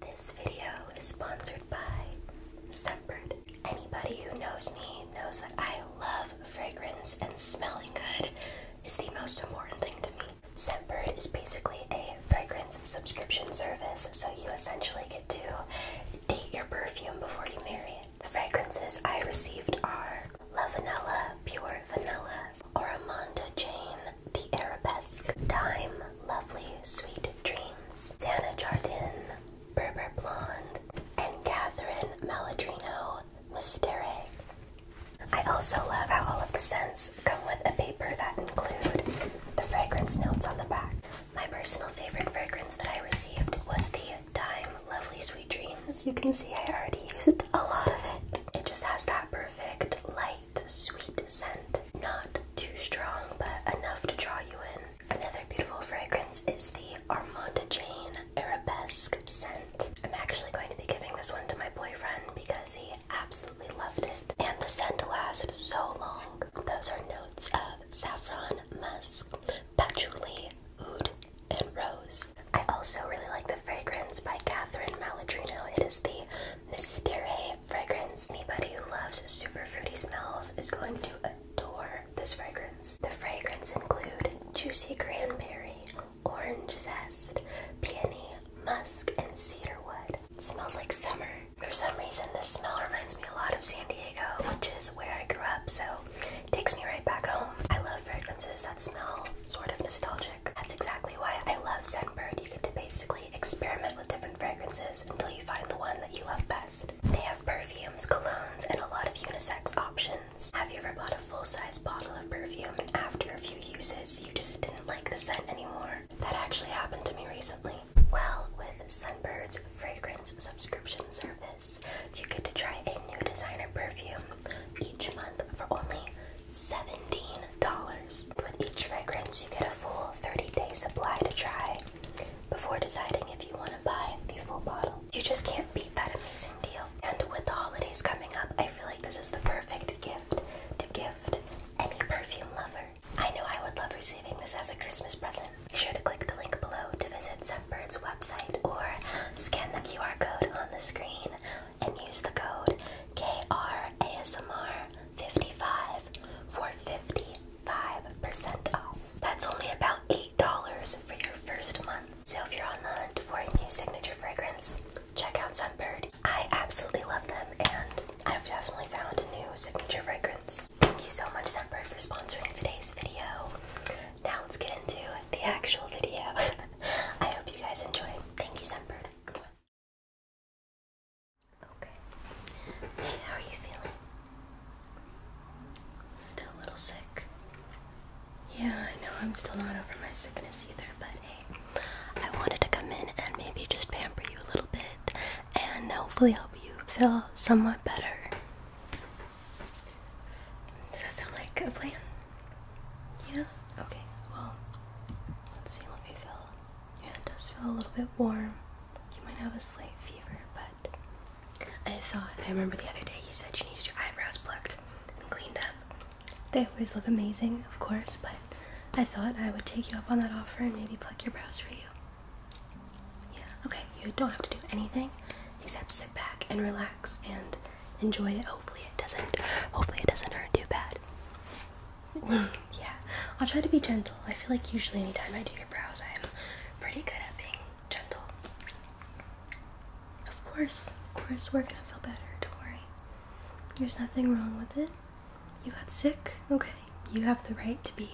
This video is sponsored by Scentbird. Anybody who knows me knows that I love fragrance and smelling good is the most important thing to me. Scentbird is basically a fragrance subscription service, so you essentially get to date your perfume before you marry it. The fragrances I received are La Vanilla Pure Vanilla or Amanda Jane, The Arabesque, Dime, Lovely Sweet Dreams, Santa Jardin, Berber Blonde, and Catherine Maladrino, Mystere. I also love how all of the scents come with a paper that include the fragrance notes on the back. My personal favorite fragrance that I received was the Dime Lovely Sweet Dreams. You can see I already used a lot of it. It just has that perfect light sweet scent. Not too strong, but enough to draw you in. Another beautiful fragrance is the Armanda Jane Arabesque scent. I'm actually going to be giving this one to my boyfriend because he absolutely loved it. And the scent lasts so long. Those are notes of saffron, musk, patchouli, oud, and rose. I also really like the fragrance by Catherine Maladrino. It is the Mystere fragrance. Anybody who loves super fruity smells is going to adore this fragrance. The fragrance include juicy cranberry, orange zest, peony, musk, and cedarwood. It smells like summer. For some reason, this smell reminds me a lot of San Diego, which is where I grew up, so takes me right back home. I love fragrances that smell sort of nostalgic. That's exactly why I love Scentbird. You get to basically experiment with different fragrances until you find the one that you love best. They have perfumes, colognes, and a lot of unisex options. Have you ever bought a full-size bottle of perfume and after a few uses you just didn't like the scent anymore? That actually happened to me recently. Well, with Scentbird's fragrance subscription service, you get to try a new designer perfume each month for only $17. With each fragrance, you get a full 30 day supply to try before deciding if you want to buy the full bottle. You just can't beat that amazing deal. And with the holidays coming up, I feel like this is the perfect gift to gift any perfume lover. I know I would love receiving this as a Christmas present. Be sure to click the link below to visit Scentbird's website or scan the QR code on the screen and use the code KRASMR55 for 55% off. That's only about $8 for your first month. So if you're on the hunt for a new signature fragrance, check out Sunbird. I absolutely love them and I've definitely found a new signature fragrance. Thank you so much Sunbird for sponsoring today's video. Now let's get into the actual video. I hope you guys enjoy. Thank you, Sunbird. Okay. Hey, how are you feeling? Still a little sick. Yeah, I know I'm still not over my sickness either, but hey, I wanted to come in and maybe just pamper you a little bit and hopefully help you feel somewhat better. Does that sound like a plan? Yeah? Okay, well, let's see. Let me feel. Your it does feel a little bit warm. You might have a slight fever, but I thought, I remember the other day you said you needed your eyebrows plucked and cleaned up. They always look amazing, of course, but I thought I would take you up on that offer and maybe pluck your brows for you. Yeah, okay, you don't have to do anything except sit back and relax and enjoy it. Hopefully it doesn't hopefully it doesn't hurt too bad. yeah. I'll try to be gentle. I feel like usually anytime I do your brows I am pretty good at being gentle. Of course, of course we're gonna feel better, don't worry. There's nothing wrong with it. You got sick, okay. You have the right to be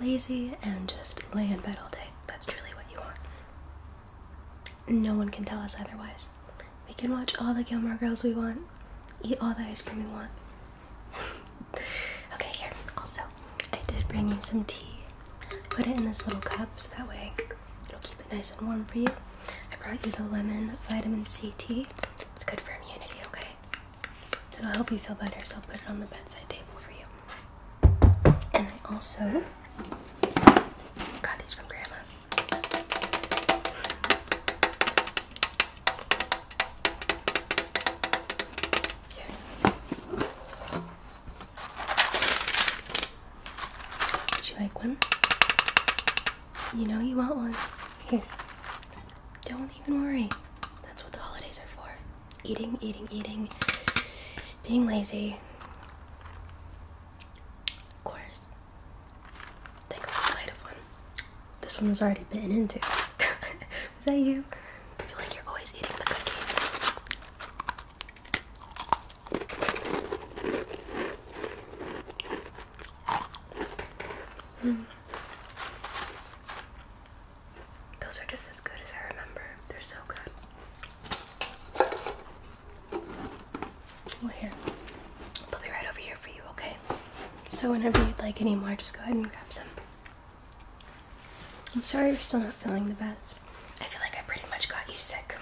lazy and just lay in bed all day. That's truly what you want. No one can tell us otherwise. We can watch all the Gilmore Girls we want, eat all the ice cream we want. okay, here. Also, I did bring you some tea. Put it in this little cup so that way it'll keep it nice and warm for you. I brought you the lemon vitamin C tea. It's good for immunity, okay? It'll help you feel better, so I'll put it on the bedside table for you. And I also Got these from Grandma. Here. Would you like one? You know you want one. Here. Don't even worry. That's what the holidays are for. Eating, eating, eating. Being lazy. Of course. Take a bite of one. This one was already bitten into. Is that you? I feel like you're always eating the cookies. Hmm. Those are just as good as I remember. They're so good. Well, oh, here, they'll be right over here for you, okay? So, whenever you'd like anymore, just go ahead and grab some. I'm sorry you're still not feeling the best. I feel like I pretty much got you sick.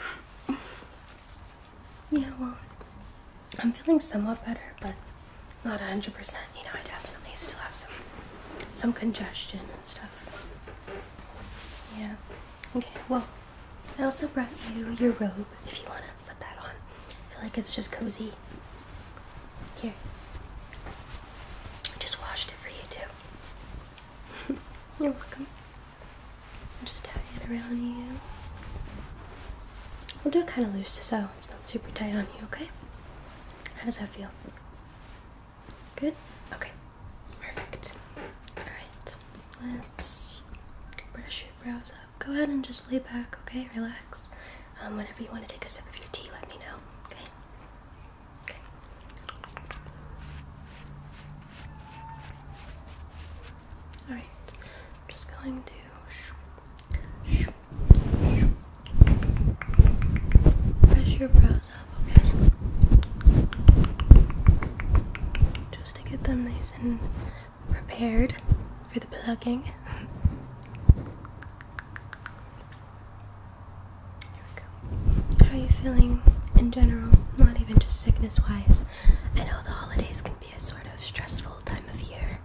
yeah, well, I'm feeling somewhat better, but not 100%. You know, I definitely still have some some congestion and stuff. Yeah. Okay, well, I also brought you your robe if you want to put that on. I feel like it's just cozy. Here. I just washed it for you too. You're welcome. I'll just tie it around you. We'll do it kind of loose so it's not super tight on you, okay? How does that feel? Good? Okay. Perfect. Alright. Let's brush your brows up. Go ahead and just lay back, okay? Relax. Um, whenever you want to take a sip of your tea, let me know. Okay? Okay. Alright. I'm just going to Brush your brows just to get them nice and prepared for the plugging. There we go. How are you feeling in general? Not even just sickness wise. I know the holidays can be a sort of stressful time of year.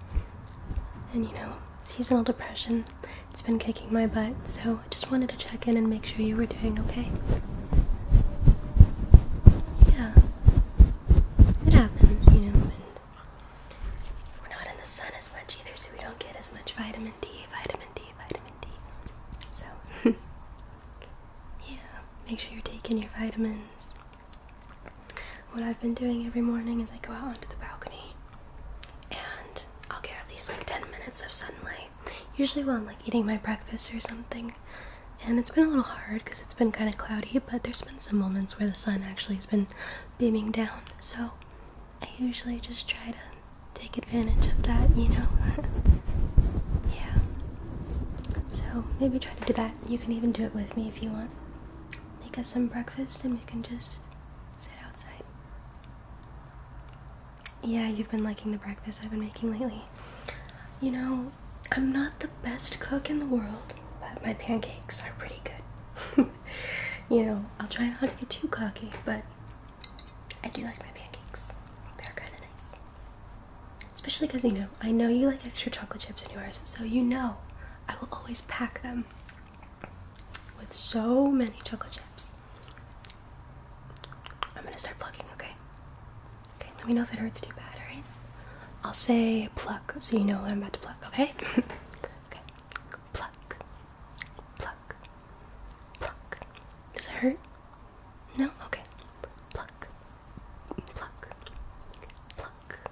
And you know, seasonal depression it's been kicking my butt, so I just wanted to check in and make sure you were doing okay. Yeah. It happens, you know, and we're not in the sun as much either, so we don't get as much vitamin D, vitamin D, vitamin D. So, yeah, make sure you're taking your vitamins. What I've been doing every morning is I go out onto the balcony and I'll get at least like 10 minutes of sunlight. Usually when I'm like eating my breakfast or something. And it's been a little hard because it's been kind of cloudy, but there's been some moments where the sun actually has been beaming down. So I usually just try to take advantage of that, you know? yeah. So maybe try to do that. You can even do it with me if you want. Make us some breakfast and we can just sit outside yeah, you've been liking the breakfast I've been making lately. You know, I'm not the best cook in the world, but my pancakes are pretty good. you know, I'll try not to get too cocky, but I do like my pancakes. They're kind of nice. Especially because, you know, I know you like extra chocolate chips in yours, so you know I will always pack them with so many chocolate chips. I'm gonna start plucking, okay? Okay, let me know if it hurts too bad, alright? I'll say pluck so you know what I'm about to pluck, okay? okay. Pluck. Pluck. Pluck. Does it hurt? No? Okay. Pluck. Pluck. Pluck. Pluck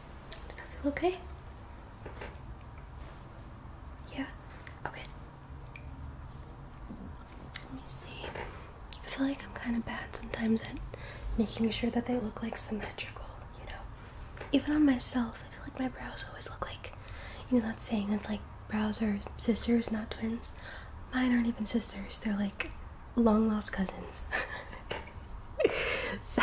does that feel okay? Yeah? Okay. Let me see. I feel like I'm kind of bad sometimes at making sure that they look like symmetrical, you know? Even on myself, I feel like my brows always look like, you know, that saying that's like brows are sisters, not twins. Mine aren't even sisters, they're like long lost cousins. so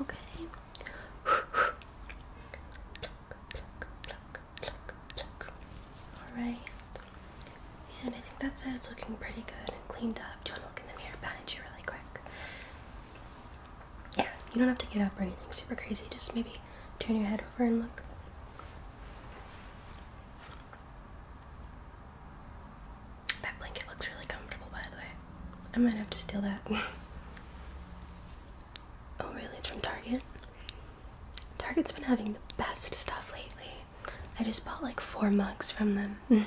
Okay. Alright. And I think that's it. It's looking pretty good and cleaned up. Do you want to look in the mirror behind you really quick? Yeah, you don't have to get up or anything super crazy. Just maybe turn your head over and look. That blanket looks really comfortable, by the way. I might have to steal that. oh, really? It's from Target? Target's been having the best stuff lately. I just bought like four mugs from them.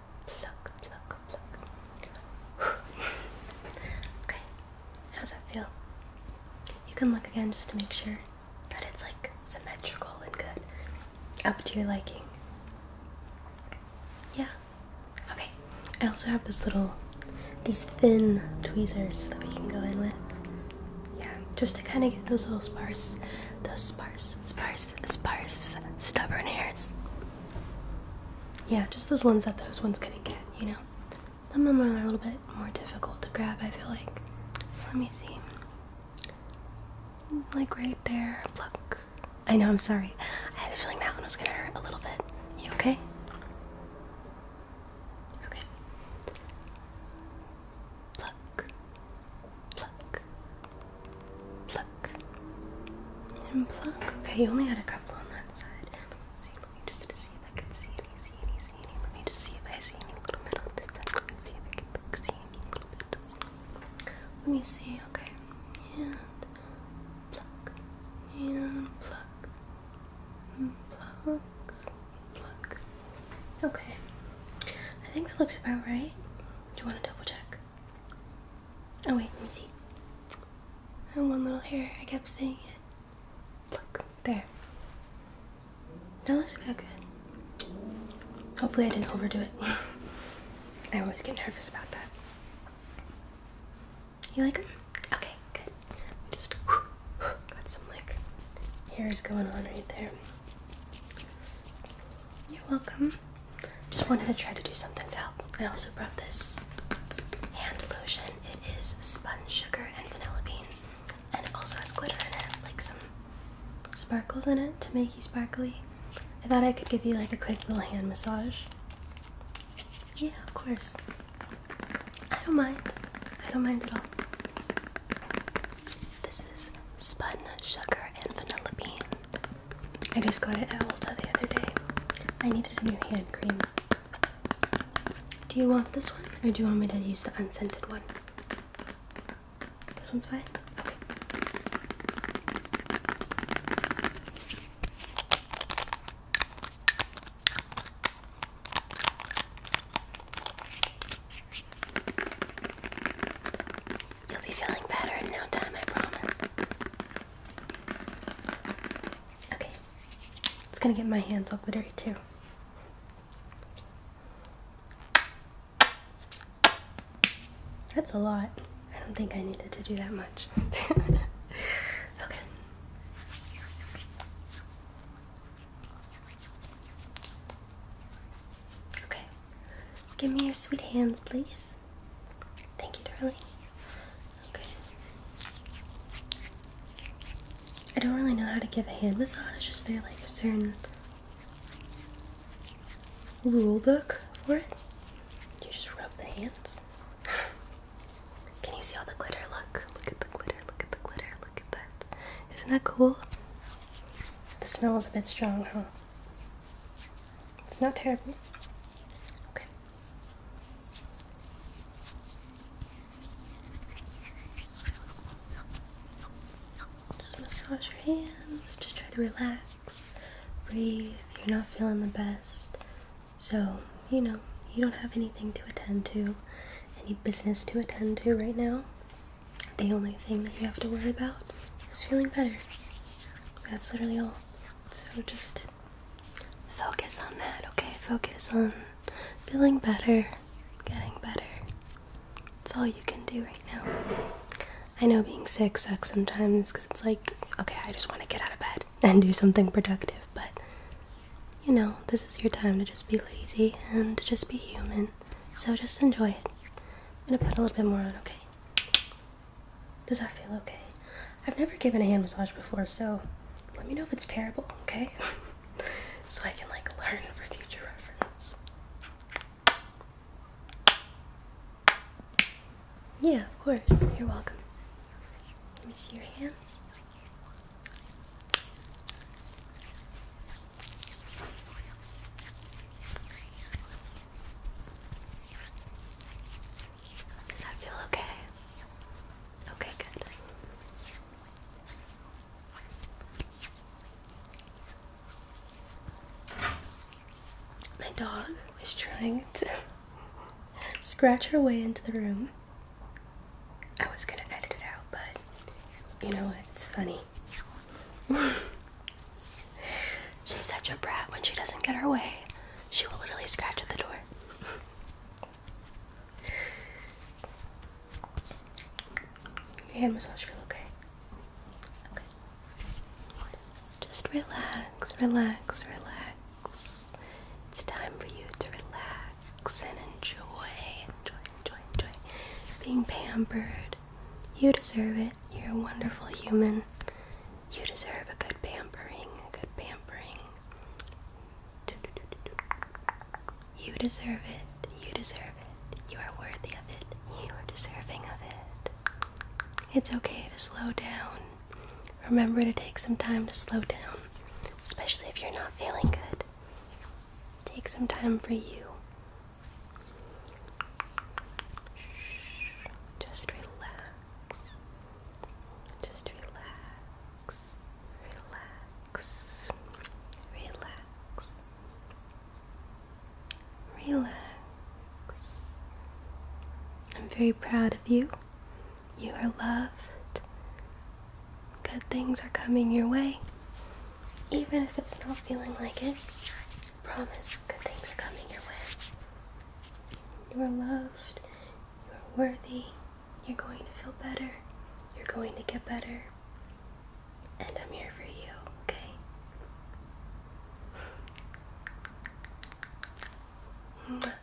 pluck, pluck, pluck, okay, how's that feel? You can look again just to make sure that it's like symmetrical and good, up to your liking. Yeah. Okay. I also have this little, these thin tweezers that we can go in with. Yeah, just to kind of get those little spars, those sparse, spars sparse, stubborn hairs. Yeah, just those ones that those ones couldn't get, you know? Some of them are a little bit more difficult to grab, I feel like. Let me see. Like right there. Pluck. I know, I'm sorry. I had a feeling that one was gonna hurt a little bit. You okay? Okay. Pluck. Pluck. Pluck. And pluck. Okay, you only had a couple on that side. Let me see, let me just see if I can see any, Let me just see if I see any little bit on Let me see, okay. And pluck. And pluck. And pluck. Pluck. Okay. I think that looks about right. Do you want to double check? Oh, wait, let me see. And one little hair, I kept seeing it. Look, there. That looks about good. Hopefully, I didn't overdo it. I always get nervous about that. You like it? Okay, good. Just got some like hairs going on right there. You're welcome. Just wanted to try to do something to help. I also brought this hand lotion. It is sponge sugar and vanilla bean, and it also has glitter in it, like some sparkles in it to make you sparkly. I thought I could give you like a quick little hand massage. Yeah, of course. I don't mind. I don't mind at all. This is spun sugar and vanilla bean. I just got it at Ulta the other day. I needed a new hand cream. Do you want this one or do you want me to use the unscented one? This one's fine? Okay. You'll be feeling better in no time, I promise. Okay. It's gonna get my hands all glittery too. That's a lot. I don't think I needed to do that much. okay. Okay. Give me your sweet hands, please. Thank you, darling. Okay. I don't really know how to give a hand massage. Is there like a certain rule book for it? You just rub the hands. Can you see all the glitter? Look. Look at the glitter. Look at the glitter. Look is Isn't that cool? The smell is a bit strong, huh? It's not terrible. Okay. Just massage your hands. Just try to relax. Breathe. You're not feeling the best. So, you know, you don't have anything to attend to, any business to attend to right now. The only thing that you have to worry about is feeling better. That's literally all. So just focus on that, okay? Focus on feeling better, getting better. That's all you can do right now. I know being sick sucks sometimes because it's like, okay, I just want to get out of bed and do something productive, but you know, this is your time to just be lazy and to just be human. So just enjoy it. I'm gonna put a little bit more on, okay? Does that feel okay? I've never given a hand massage before, so let me know if it's terrible, okay? so I can like learn for future reference. Yeah, of course. You're welcome. Let me see your hands. Does feel okay? Okay, good. My dog is trying to scratch her way into the room. I was gonna edit it out, but you know what? It's funny. She's such a brat when she doesn't get her way. She will literally scratch at the door. Your Hand massage feel okay? Okay. Just relax, relax, relax. It's time for you to relax and enjoy, enjoy, enjoy, enjoy being pampered. You deserve it. You're a wonderful human. You deserve a good pampering, a good pampering. You deserve it. You deserve it. You are worthy of it. You are deserving of it. It's okay to slow down. Remember to take some time to slow down, especially if you're not feeling good. Take some time for you. Just relax. Just relax. Relax. Relax. Relax. I'm very proud of you. You are loved. Good things are coming your way. Even if it's not feeling like it, promise good things are coming your way. You are loved. You are worthy. You're going to feel better. You're going to get better. And I'm here for you, okay?